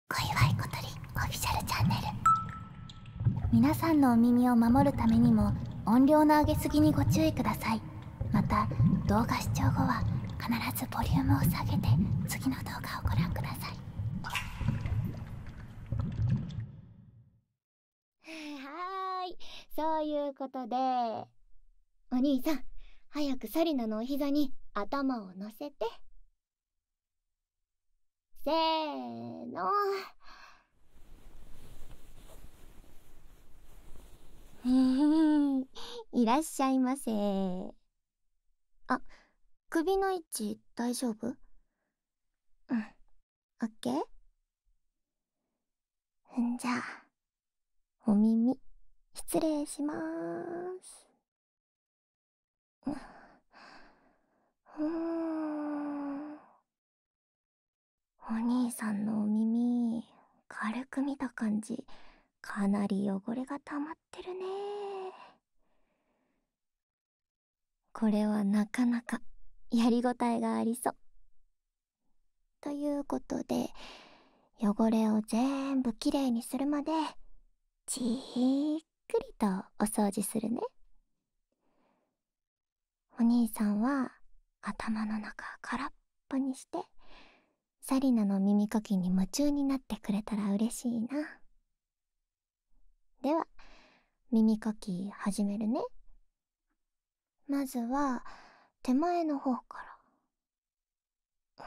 小祝小鳥オフィシャルチャンネル皆さんのお耳を守るためにも音量の上げすぎにご注意くださいまた動画視聴後は必ずボリュームを下げて次の動画をご覧くださいはーいそういうことでお兄さん早くサリナのお膝に頭を乗せてせーの。いらっしゃいませあ、首の位置大丈夫うん。オッケーんじゃあ、お耳、失礼しまーす。うんお兄さんのお耳軽く見た感じかなり汚れが溜まってるねこれはなかなかやりごたえがありそうということで汚れを全部きれいにするまでじーっくりとお掃除するねお兄さんは頭の中空っぽにしてサリナの耳かきに夢中になってくれたら嬉しいなでは耳かき始めるねまずは手前の方から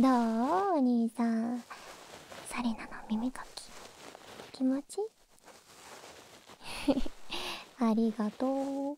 どうお兄さんサリナの耳かき気持ち ありがとう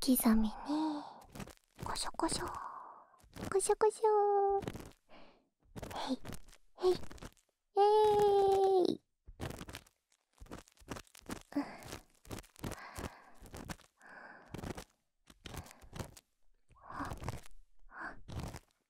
き ざみにこしょこしょこしょこしょへいへいえい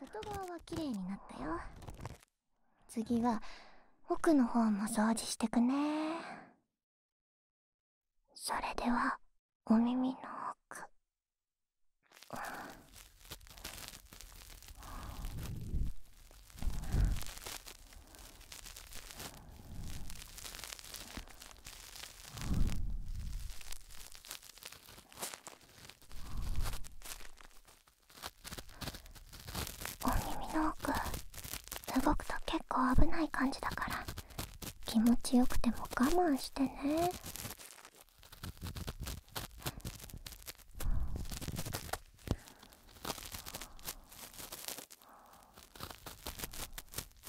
外側は綺麗になったよ次は奥の方も掃除してくねそれではお耳の奥お耳の奥動くと結構危ない感じだから気持ちよくても我慢してね。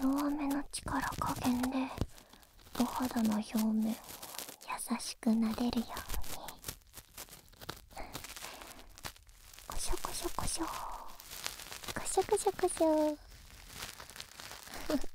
弱めの力加減でお肌の表面を優しくなでるようにこしょこしょこしょこしょこしょこしょ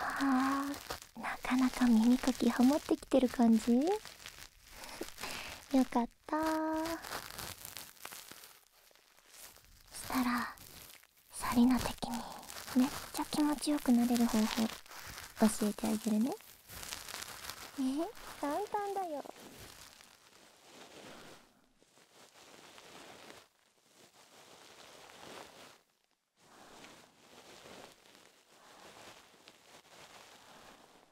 はあなかなか耳かきハマってきてる感じ よかった。ったしたらサリナ的にめっちゃ気持ちよくなれる方法教えてあげるねえ簡単だよ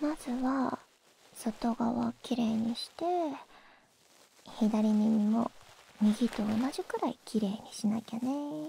まずは外側きれいにして左耳も右と同じくらいきれいにしなきゃね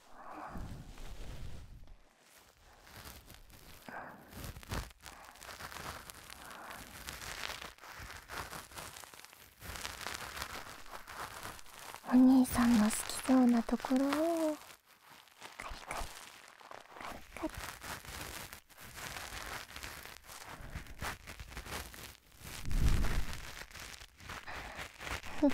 お兄さんの好きそうなところをカリカリカリカリ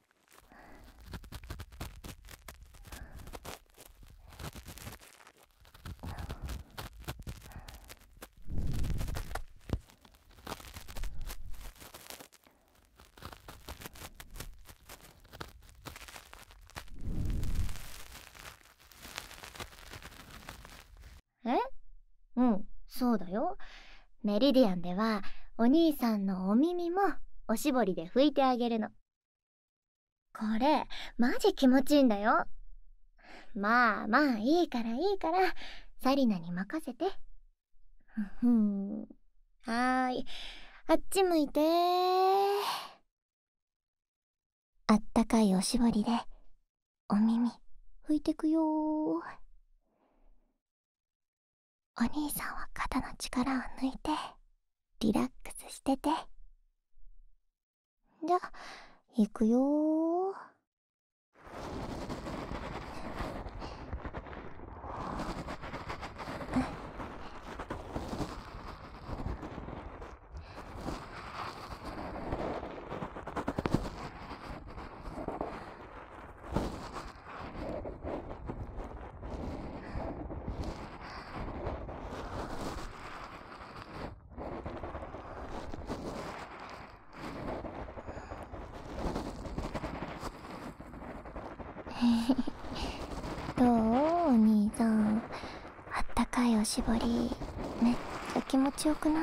えうんそうだよメリディアンではお兄さんのお耳もおしぼりで拭いてあげるのこれマジ気持ちいいんだよまあまあいいからいいから紗理奈に任せてふんはーいあっち向いてあったかいおしぼりでお耳拭いてくよお兄さんは肩の力を抜いてリラックスしててじゃ行くよー どうお兄さんあったかいおしぼりめっちゃ気持ちよくない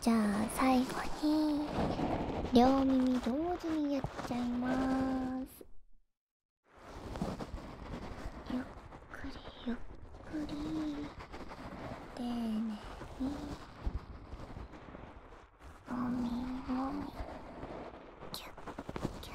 じゃあ最後に両耳同時にやっちゃいますゆっくりゆっくり丁寧にもみもみキュッキュッ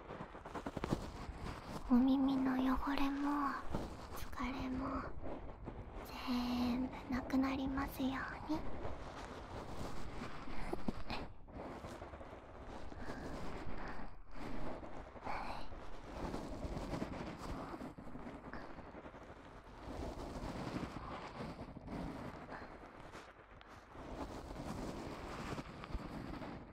お耳の汚れも疲れも全部なくなりますようにあ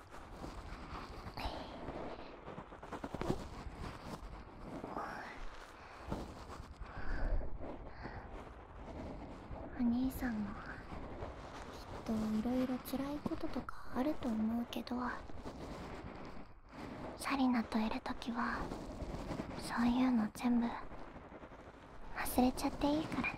お兄さんもきっといろいろつらいこととかあると思うけどサリナといる時はそういうの全部忘れちゃっていいからね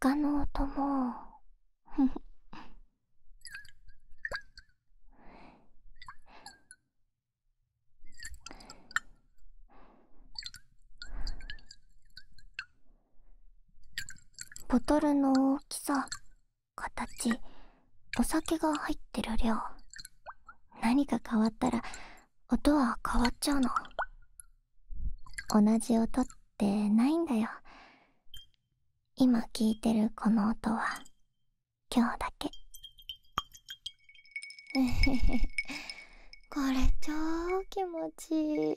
他の音も ボトルの大きさ形お酒が入ってる量何か変わったら音は変わっちゃうの同じ音ってないんだよ今聞いてるこの音は今日だけ これ超気持ちいい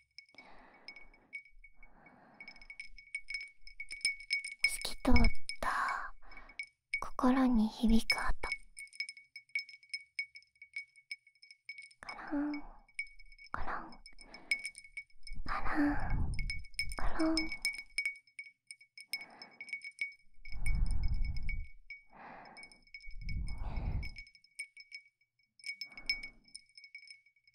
透き通った心に響く音カランカランカランカラン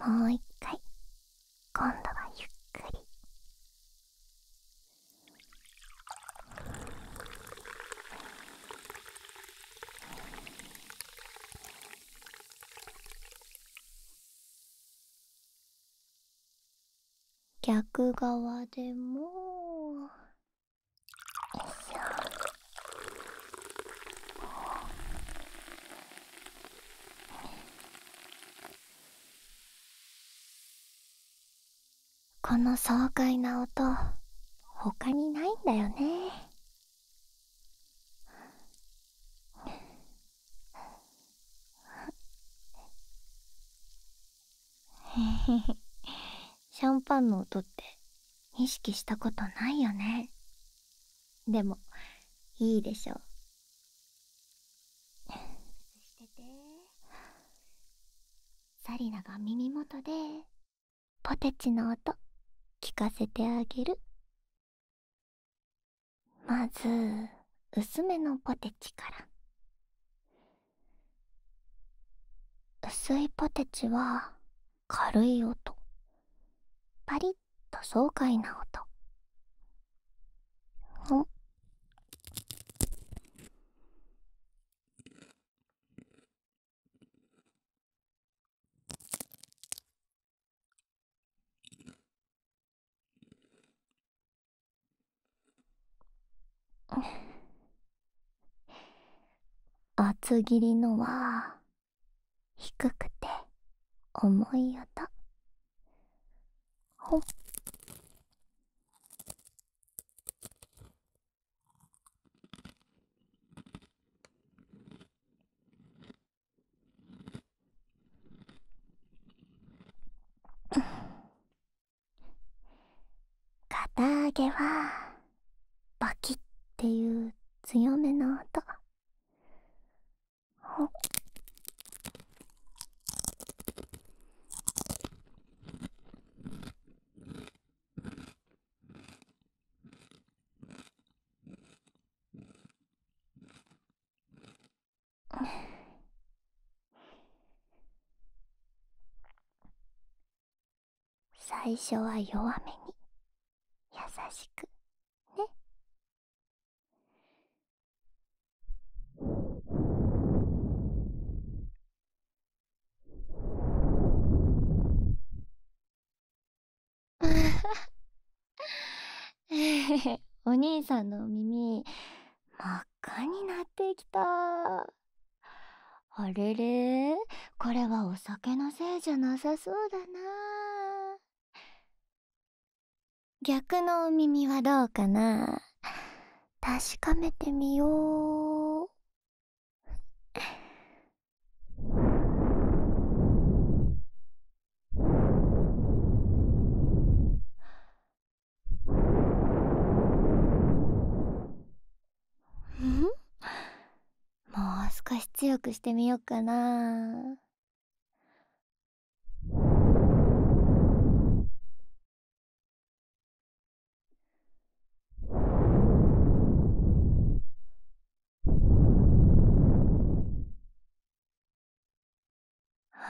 もう一回今度はゆっくり逆側でも。よいしょこの爽快な音他にないんだよねへへへシャンパンの音って意識したことないよねでもいいでしょうしてて紗理奈が耳元でポテチの音聞かせてあげるまず薄めのポテチから薄いポテチは軽い音パリッと爽快な音ん厚切りのは低くて重い音ほっ 片揚げはバキっていう強めな音ほっ最初は弱めに優しくね お兄さんの耳真っ赤になってきた。あれれこれはお酒のせいじゃなさそうだな逆のお耳はどうかな確かめてみよう。ん もう少し強くしてみよっかな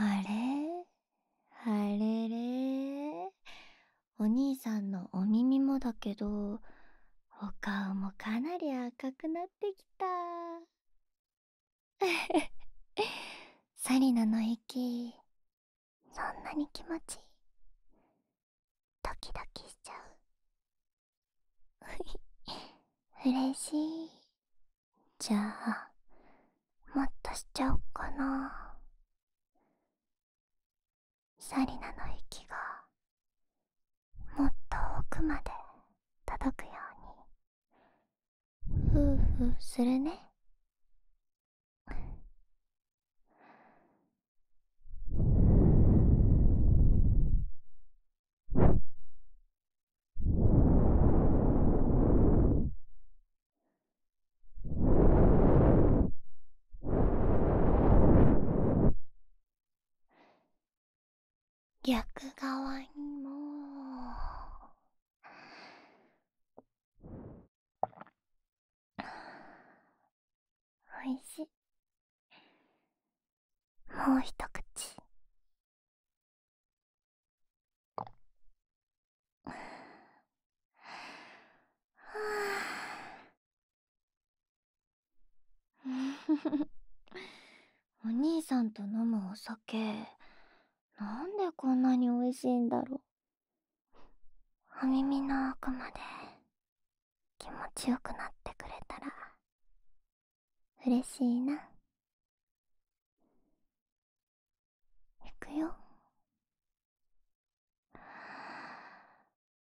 あれあれれお兄さんのお耳もだけどお顔もかなり赤くなってきた サリナの息そんなに気持ちいいドキドキしちゃう 嬉しいじゃあもっとしちゃおっかな紗理奈の息がもっと奥まで届くようにふーふーするね逆側にもおいしいもう一口 お兄さんと飲むお酒なんでこんなに美味しいんだろうお耳の奥まで気持ちよくなってくれたら嬉しいな行くよ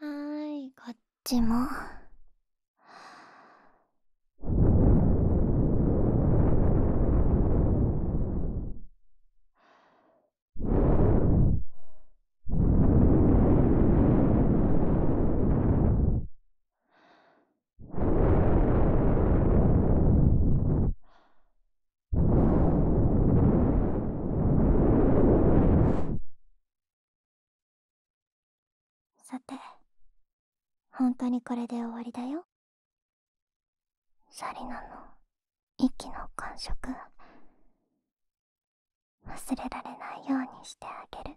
はい、こっちも。はあ。さてほんとにこれで終わりだよサリナの息の感触忘れられないようにしてあげる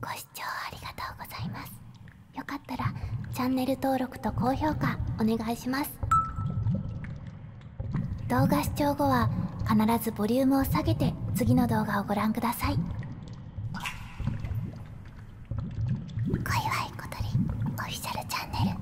ご視聴ありがとうございますよかったらチャンネル登録と高評価お願いします動画視聴後は必ずボリュームを下げて次の動画をご覧ください小祝小鳥オフィシャルチャンネル